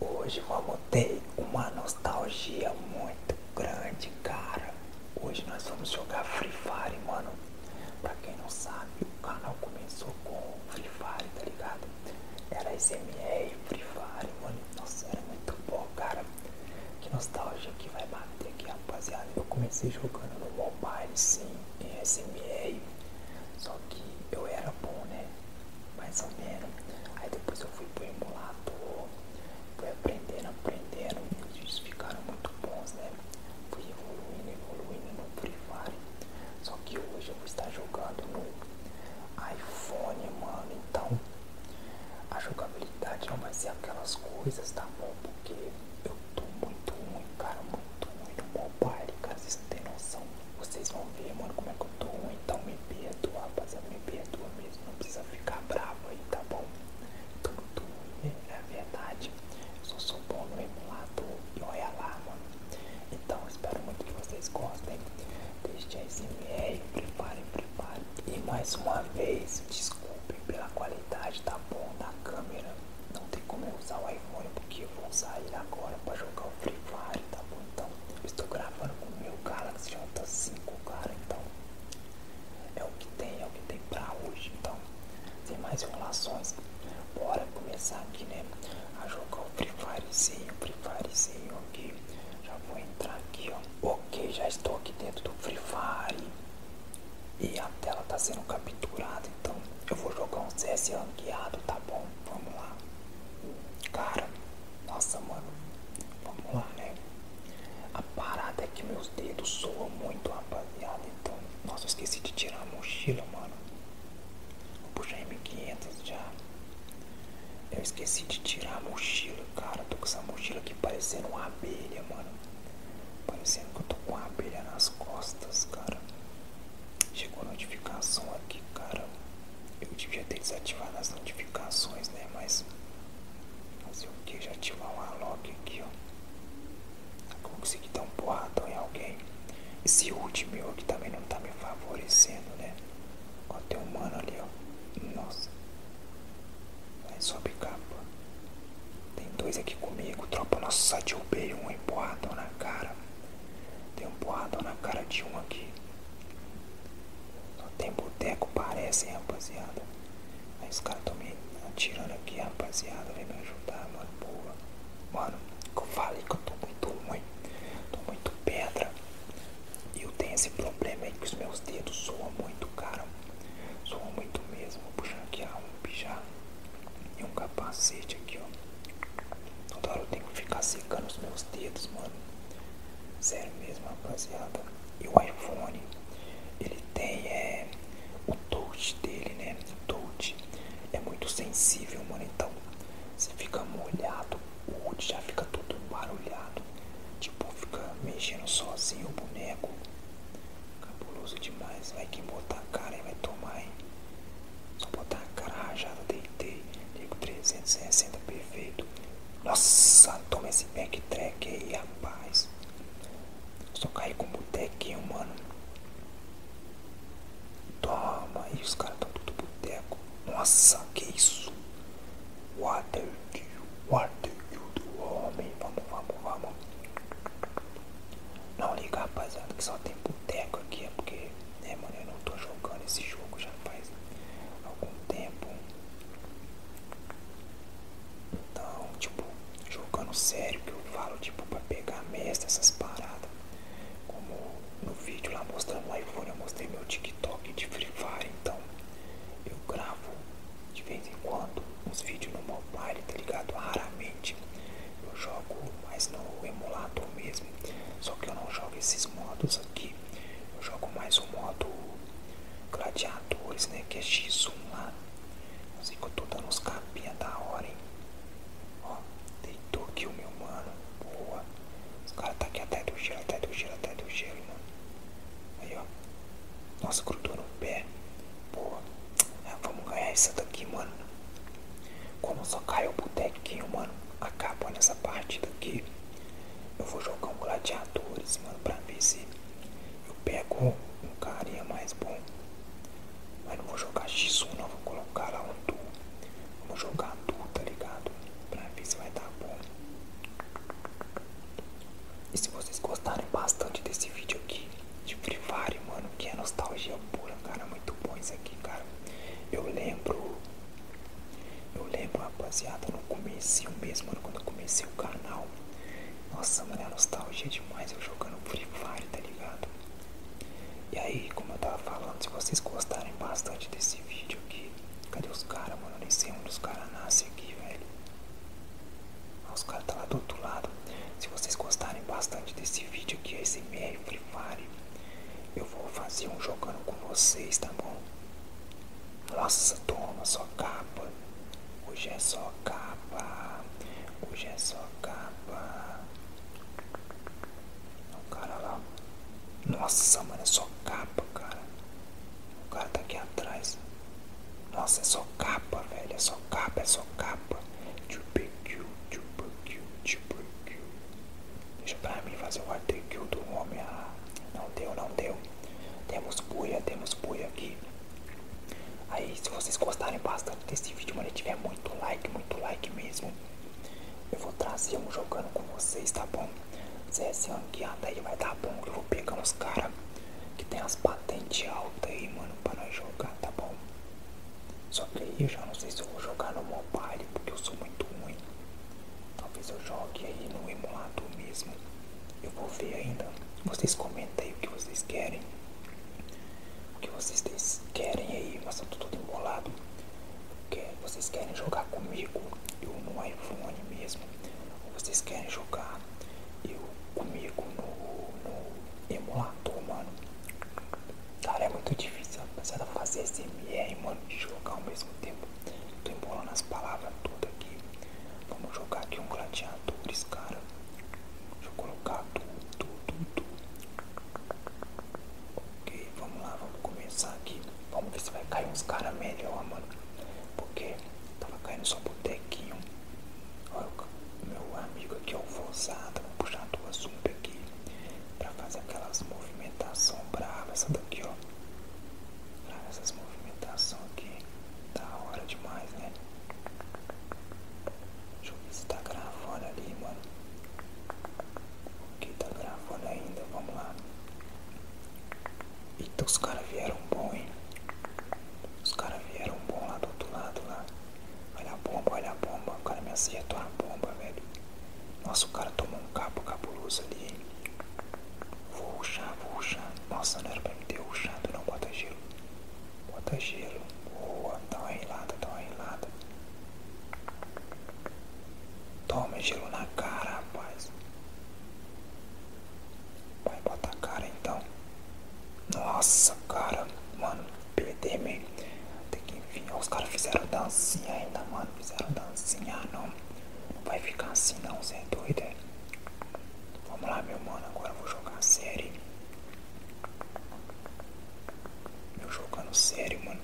Hoje vamos montei uma nostalgia muito grande, cara. Hoje nós vamos jogar Free Fire, mano. Pra quem não sabe, o canal começou com Free Fire, tá ligado? Era SMR, Free Fire, mano. Nossa, era muito bom, cara. Que nostalgia que vai bater aqui, rapaziada. Eu comecei jogando no mobile, sim, em SMR que eu era bom, né? Mais ou menos. Aí depois eu fui pro emulador, fui aprendendo, aprendendo. Os vídeos ficaram muito bons, né? Fui evoluindo, evoluindo no Free Fire. Só que hoje eu vou estar jogando no iPhone, mano. Então a jogabilidade não vai ser aquelas coisas, tá bom? Porque eu eu tô muito ruim, cara, muito ruim no mobile, cara, vocês não têm noção. Vocês vão ver, mano, como é que eu tô ruim, então me perdoa, rapaziada, me perdoa mesmo, não precisa ficar bravo aí, tá bom? tudo muito ruim, é, é verdade, eu só sou bom no emulador e olha lá, mano. Então, espero muito que vocês gostem, deixem a SMR, preparem, preparem. E mais uma vez, desculpem pela qualidade, tá bom, da câmera. Não tem como eu usar o iPhone porque eu vou sair agora para jogar o Free Fire, tá bom? Então, eu estou gravando com o meu Galaxy J5, cara, então é o que tem, é o que tem para hoje, então sem mais enrolações, bora começar aqui, né, a jogar o Free Firezinho, Free Firezinho aqui, já vou entrar aqui, ó, ok, já estou aqui dentro do Free Fire, e a tela tá sendo capturada, então eu vou jogar um CS ranqueado, tá bom? Vamos lá. Cara, nossa mano, vamos lá, né? A parada é que meus dedos soam muito, rapaziada. Então, nossa, eu esqueci de tirar a mochila, mano. Vou puxar M500 já. Eu esqueci de tirar a mochila, cara. Tô com essa mochila aqui parecendo uma abelha, mano. Parecendo que eu tô com a abelha nas costas, cara. Chegou notificação aqui, cara. Eu devia ter desativado as notificações, né? Mas fazer o que? Já ativar uma log aqui, ó. Consegui dar um porradão em alguém. Esse último meu aqui também não tá me favorecendo, né? Ó, tem um mano ali, ó. Nossa. Aí sobe capa. Tem dois aqui comigo, tropa. Nossa, só derrubei um empurradão na cara. Tem um porradão na cara de um aqui. Só tem boteco, parece, hein, rapaziada. Aí os caras estão me atirando aqui, rapaziada. Vem me ajudar, mano. Boa. Mano, eu falei que eu tô muito ruim. Tô muito pedra. E eu tenho esse problema aí que os meus dedos soam muito, cara. Soam muito mesmo. Vou puxar aqui a um pijama e um capacete aqui, ó. Toda eu tenho que ficar secando os meus dedos, mano. zero mesmo, rapaziada. E o iPhone, ele tem é, o touch dele, né? touch é muito sensível, mano. Então, você fica molhado, o HUD já fica tudo barulhado. Tipo, fica mexendo sozinho o boneco. Cabuloso demais. Vai que botar a cara e vai tomar, hein? Só botar a cara rajada, deitei. Ligo 360, perfeito. Nossa, toma esse backtrack aí, rapaz. Só cair com o botequinho, mano. Toma, e os caras estão tudo boteco. Nossa, que isso? Water. What do you do, homem? Oh, vamos, vamos, vamos. Não liga, rapaziada, que só tem boteco aqui. É porque, né, mano, eu não tô jogando esse jogo já faz algum tempo. Então, tipo, jogando sério, que eu falo, tipo, pra pegar mestre, essas paradas. Como no vídeo lá mostrando o iPhone, eu mostrei meu TikTok de Free Fire. Então, eu gravo de vez em quando os vídeos no mobile, tá ligado? Raramente eu jogo, mas no emulador mesmo. Só que eu não jogo esses modos aqui. Eu jogo mais o modo gladiadores, né? Que é X1 lá. Eu que eu tô dando uns capinha da hora, hein? Ó, deitou aqui o meu mano. Boa. Os caras tá aqui até do gelo, até do gelo, até do gelo, mano. Aí, ó. Nossa, grudou no pé. boa ah, vamos ganhar essa daqui, mano. Como só caiu o botequinho, mano. Acabou nessa partida aqui. Eu vou jogar um gladiadores, mano, pra ver se eu pego um cara mais bom. Mas não vou jogar X1 não, vou colocar lá um duo. Vamos jogar duo, tá ligado? Pra ver se vai dar bom. E se vocês gostarem bastante desse vídeo aqui de Free Fire, mano, que é nostalgia pura, cara, muito bom isso aqui, cara. Eu lembro, eu lembro, rapaziada, no começo mesmo, quando eu comecei o canal. Nossa, mano, é nostalgia demais eu jogando Free Fire, tá ligado? E aí, como eu tava falando, se vocês gostarem bastante desse vídeo aqui, Cadê os caras, mano? Nem sei onde os caras nascem aqui, velho. Ah, os caras tá lá do outro lado. Se vocês gostarem bastante desse vídeo aqui, ASMR Free Fire, eu vou fazer um jogando com vocês, tá bom? Nossa, toma, só capa. Hoje é só capa. Hoje é só capa. O cara lá. Nossa, mano, é só capa, cara. O cara tá aqui atrás. Nossa, é só capa, velho. É só capa, é só capa. Deixa pra mim fazer o arte kill do homem. Ah, não deu, não deu. Temos buia, temos buia aqui. Aí, se vocês gostarem bastante desse vídeo, mano, tiver muito like, muito like mesmo, eu vou trazer um jogando com vocês, tá bom? Se esse ano que anda aí vai dar bom, eu vou pegar uns caras que tem as patentes altas aí, mano, pra nós jogar, tá bom? Só que aí eu já não sei se eu vou jogar no mobile, porque eu sou muito ruim. Talvez eu jogue aí no emulador mesmo. Eu vou ver ainda. Vocês comentem aí o que vocês querem. O que vocês querem aí, mas eu tô todo embolado. Porque vocês querem jogar comigo, eu no iPhone mesmo. Ou vocês querem jogar eu comigo no, no emulador, mano. Cara, é muito difícil, rapaziada, fazer SMR, mano, e jogar ao mesmo tempo. Tô embolando as palavras todas aqui. Vamos jogar aqui um gladiadores, cara. Deixa eu colocar tudo, tudo, tudo. Ok, vamos lá, vamos começar aqui. Vamos ver se vai cair uns caras melhor, mano. Porque tava caindo só botequinho. Olha meu amigo aqui, ó, forçado. Vou puxar duas zumbi aqui pra fazer aquelas movimentações bravas. Essa daqui, ó. Ah, essas movimentações aqui. Da hora demais, né? Deixa eu ver se tá gravando ali, mano. O que tá gravando ainda, vamos lá. Eita, os caras vieram bom, hein? Os caras vieram bom lá do outro lado lá. Olha a bomba, olha a bomba. O cara me acertou a bomba, velho. Nossa, o cara tomou um capo cabuloso ali, hein? Vou ruxar, vou ruxar. Nossa, não era pra me ter ruxado não, bota gelo. Bota gelo. Boa, dá uma relada, dá uma relada. Toma gelo na cara, rapaz. Vai botar a cara então. Nossa, cara, mano, perder mesmo. Tem que enfiar. Os caras fizeram dancinha ainda, mano. Fizeram dancinha, não. vai ficar assim não, você é doido, é? Vamos lá, meu mano, agora eu vou jogar sério. Eu é no sério, mano.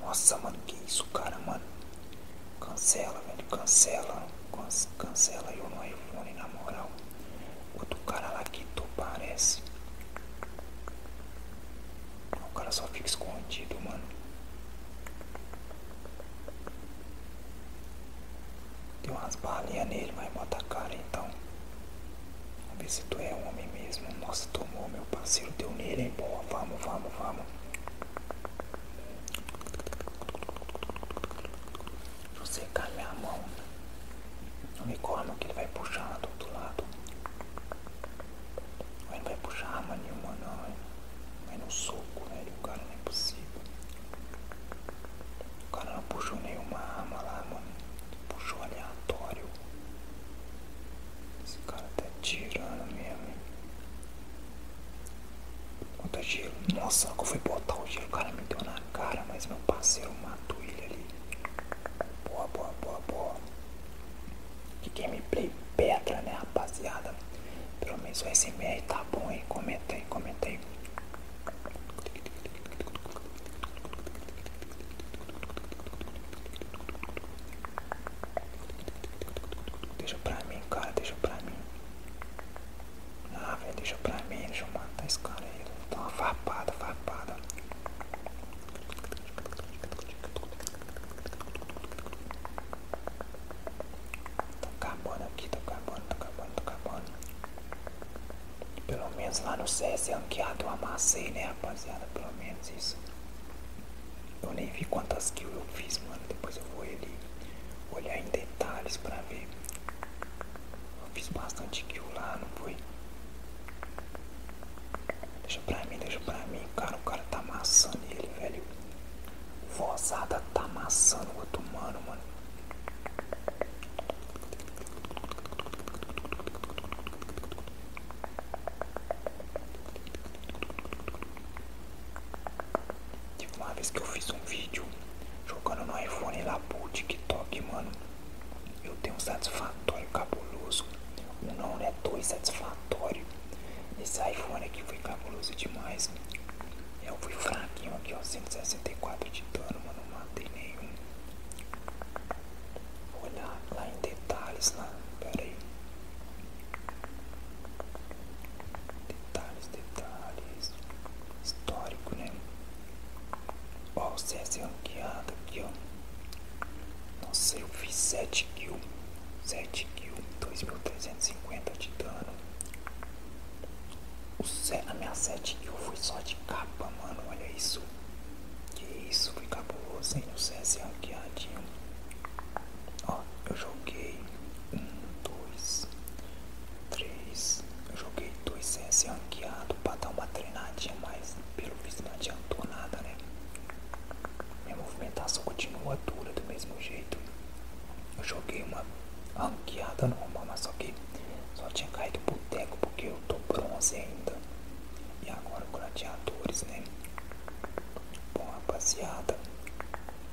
Nossa, mano, que isso, cara, mano. Cancela, velho, cancela. Cancela eu no iPhone, na moral. Outro cara lá que tu parece. O cara só fica escondido, mano. deu umas balinhas nele, mas bota a cara então vamos ver se tu é um homem mesmo. Nossa, tomou, meu parceiro, deu nele, hein? Boa, vamos, vamos, vamos. Se você calhar a mão no unicórnio que ele vai puxar do outro lado. Ele não vai puxar arma nenhuma, não, hein? Vai no soco, né? O cara não é possível. O cara não puxou nenhuma arma lá, mano puxou aleatório. Esse cara tá tirando mesmo. Quanto gelo. Nossa, que eu fui botar o gelo, o cara me deu na cara, mas meu parceiro matou ele ali. Boa, boa, boa, boa. Que gameplay pedra, né, rapaziada? Pelo menos o SMR tá bom, hein? Comenta aí, comenta aí. Deixa pra mim, cara, deixa pra mim. Ah, velho, deixa pra mim, deixa eu matar esse cara aí. Dá uma farpada, farpada. Tô tá acabando aqui, tá acabando, tá acabando, tá acabando. Pelo menos lá no CS é ranqueado eu amassei, né, rapaziada? Pelo menos isso. Eu nem vi quantas kills eu fiz, mano. Depois eu vou ali olhar em detalhes pra ver. Eu fiz bastante kill lá, não foi? Deixa pra mim, deixa pra mim. Cara, o cara tá amassando ele, velho. Vozada tá amassando o outro mano, mano. Teve uma vez que eu fiz um vídeo jogando no iPhone lá pro TikTok, mano. Eu tenho um satisfatório cabuloso. Um não, é Dois satisfatório. Esse iPhone aqui foi cabuloso demais. Eu fui fraquinho aqui, ó. 164 de dano, mano. Não matei nenhum. Vou olhar lá em detalhes lá. Né? Pera aí. Detalhes, detalhes. Histórico, né? Ó, o CS ranqueado aqui, ó. sei eu fiz 7 kills. 7 kills, 2.350 de dano o, a minha 7 eu fui só de capa, mano. Olha isso. Que isso, fui cabuloso, hein? O CS ranqueadinho. É Ó, eu joguei um, dois, três. Eu joguei dois CS ranqueado é pra dar uma treinadinha, mas pelo visto não adiantou nada, né? Minha movimentação continua dura do mesmo jeito. Eu joguei uma ranqueada normal, mas só que só tinha caído o boteco porque eu tô bronze ainda. E agora gladiadores, né? Bom, rapaziada,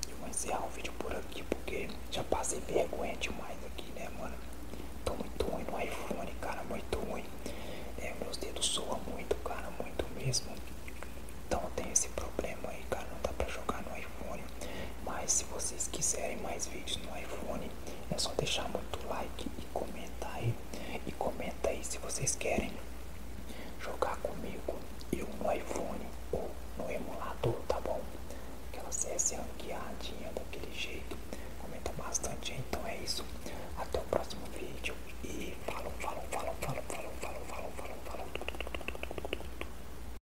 eu vou encerrar o vídeo por aqui porque já passei vergonha demais aqui, né, mano? Tô muito ruim no iPhone, cara, muito ruim. É, meus dedos soam muito, cara, muito mesmo. Então tem esse problema aí, cara, não dá pra jogar no iPhone iPhone. Mas se vocês quiserem mais vídeos no iPhone, é só deixar muito like e comentar aí. E comenta aí se vocês querem jogar comigo eu no iPhone ou no emulador, tá bom? Aquela CS ranqueadinha daquele jeito. Comenta bastante, então é isso. Até o próximo vídeo e falou, falou, falou, falou, falou, falou, falou, falou, falou.